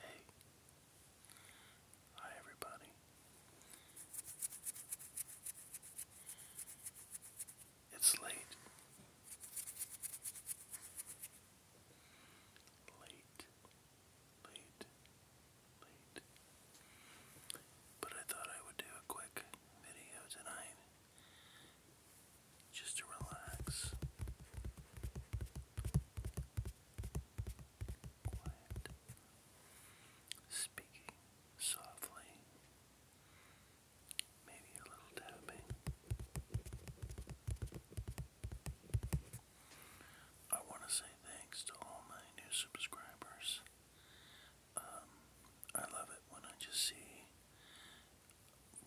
Hey. Hi everybody. It's late. Late. Late. Late. But I thought I would do a quick video tonight. Just to relax speaking softly, maybe a little tapping. I want to say thanks to all my new subscribers. Um, I love it when I just see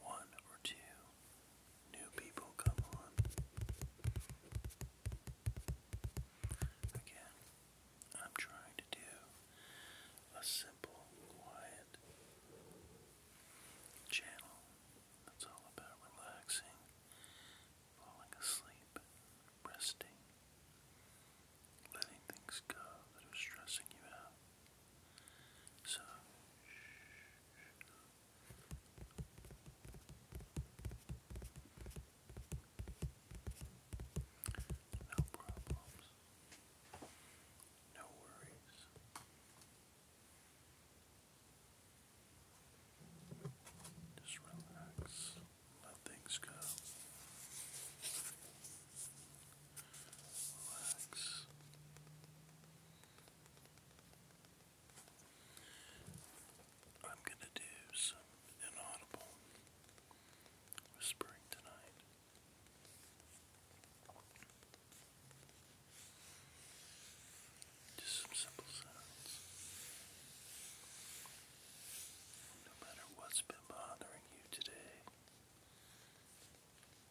one or two New people come on. Again, I'm trying to do a simple, quiet channel that's all about relaxing, falling asleep, resting, letting things go that are stressing you out. So, no problems. No worries. Just relax. Let things go. Relax. I'm going to do some inaudible whispering tonight. Just some simple sounds. No matter what's been bothering you today,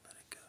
let it go.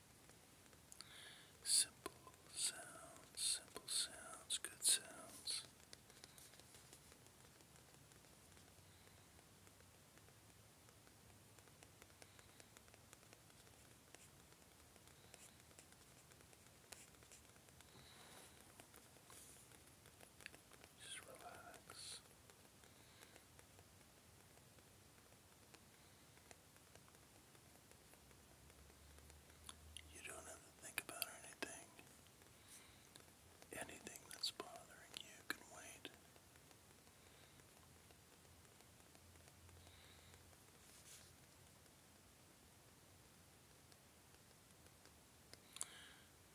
Simple sounds, simple sounds, good sounds. Just relax. You don't have to think about anything. Anything that's bothering you can wait.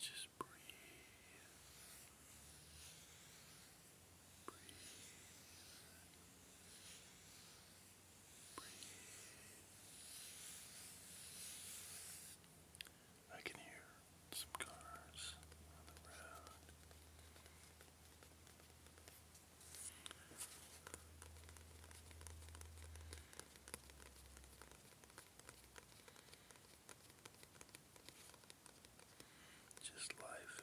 Just breathe. Breathe. I can hear some cars on Just life.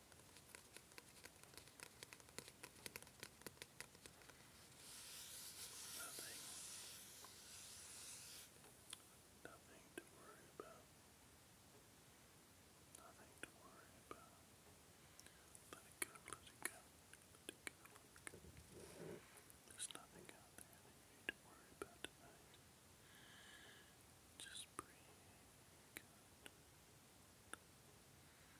Nothing. Nothing to worry about. Nothing to worry about. Let it go, let it go, let it go, let it go. There's nothing out there you to worry about tonight. Just breathe. Good.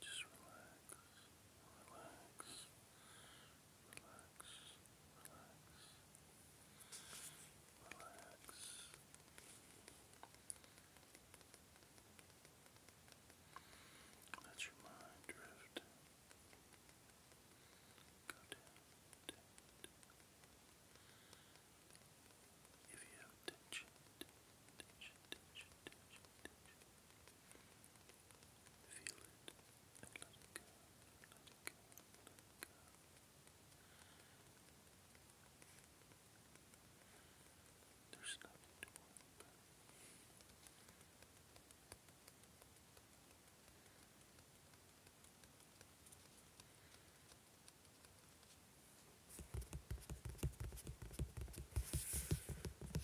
Just relax, relax, relax, relax, relax. Let your mind drift. Go down, down, down. If you have tension, tension, tension, tension, tension, Feel it There's nothing to worry about.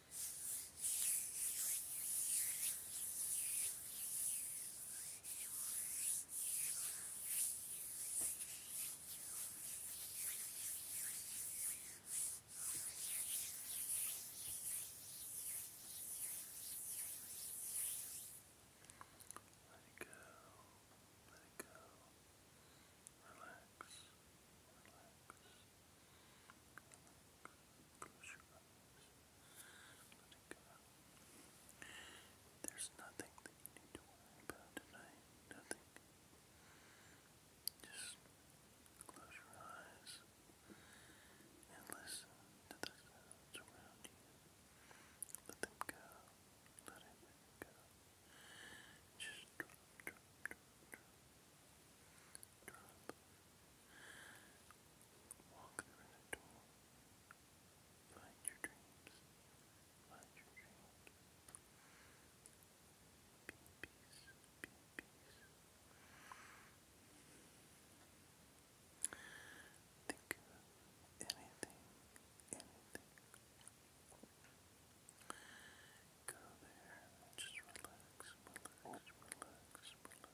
Let it go. Let it go. Relax. Relax. Close There's nothing that you need to worry about tonight. Nothing. Just close your eyes and listen to the sounds around you. Let them go. Let it go. Just Europe. Walk through the door. Find your dreams. Find your dreams. Think of anything, anything. Go there and just relax, relax, relax, relax.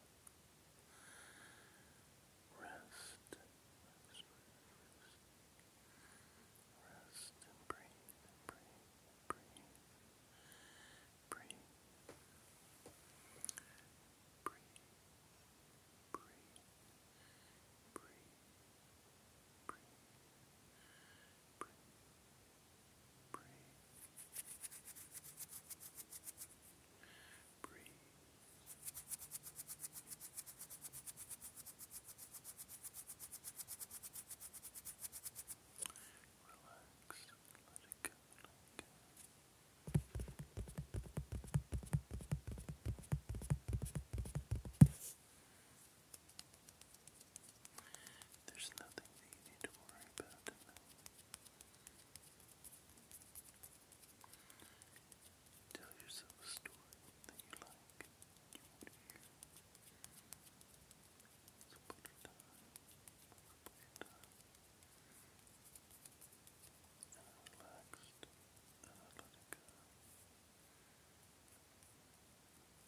Rest, rest, rest. Rest and breathe, breathe, breathe, breathe, breathe, breathe, breathe, breathe, breathe. Breathe. Breathe. Relax. Let it go. Let it go. Breathe. There's nothing that you need to worry about Tell yourself a story that you like, you want to hear. So put it on, put it on. And i and let go.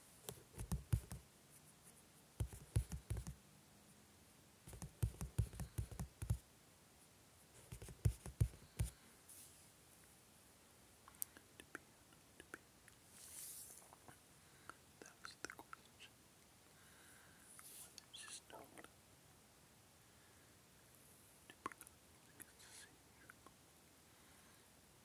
That's the question. Whether it's just known to bring up music is the same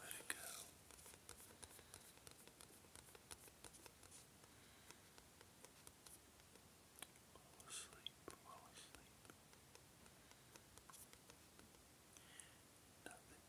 Let it go. Fall asleep, fall asleep. Nothing,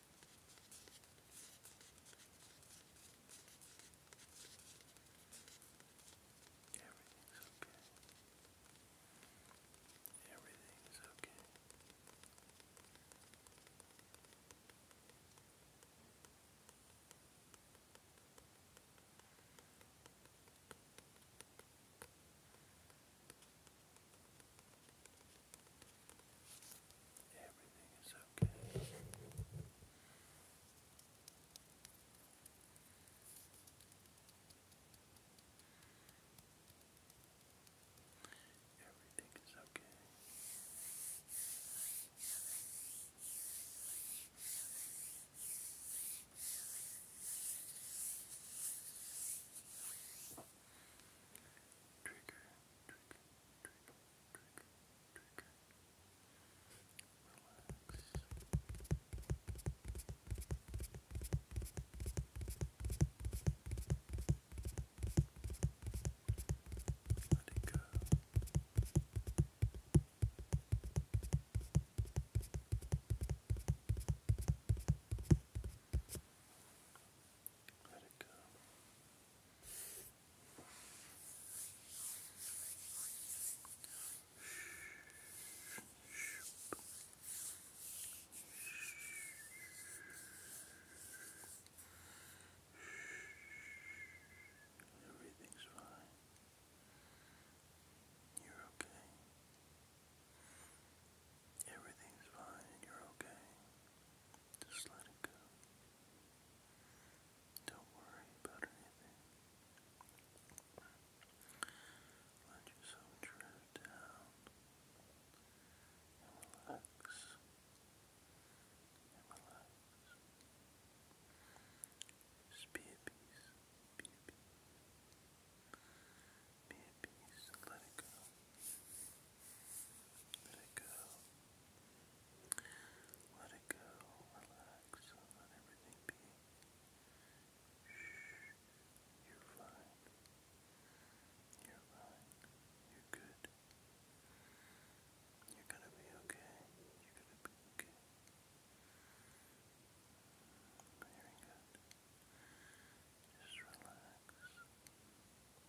Everything's okay. Everything's okay. Everything's okay. Everything is okay. Everything is okay. Trigger let it go. Let Everything's fine. You're okay. Everything's fine and you're okay. Just let it go. Don't worry about anything. Let yourself drift down relax relax. be at peace. Be at peace. Be at peace let it go. Let it go. Let it go. Relax let everything be. Shh. You're fine. You're fine. You're good. You're gonna be okay. You're gonna be okay. Very good. Just Relax.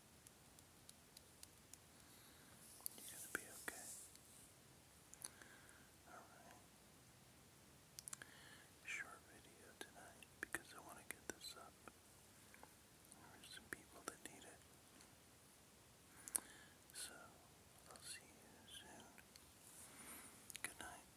You're gonna be okay. Alright. Short video tonight because I want to get this up. There some people that need it. So, I'll see you soon. Good night.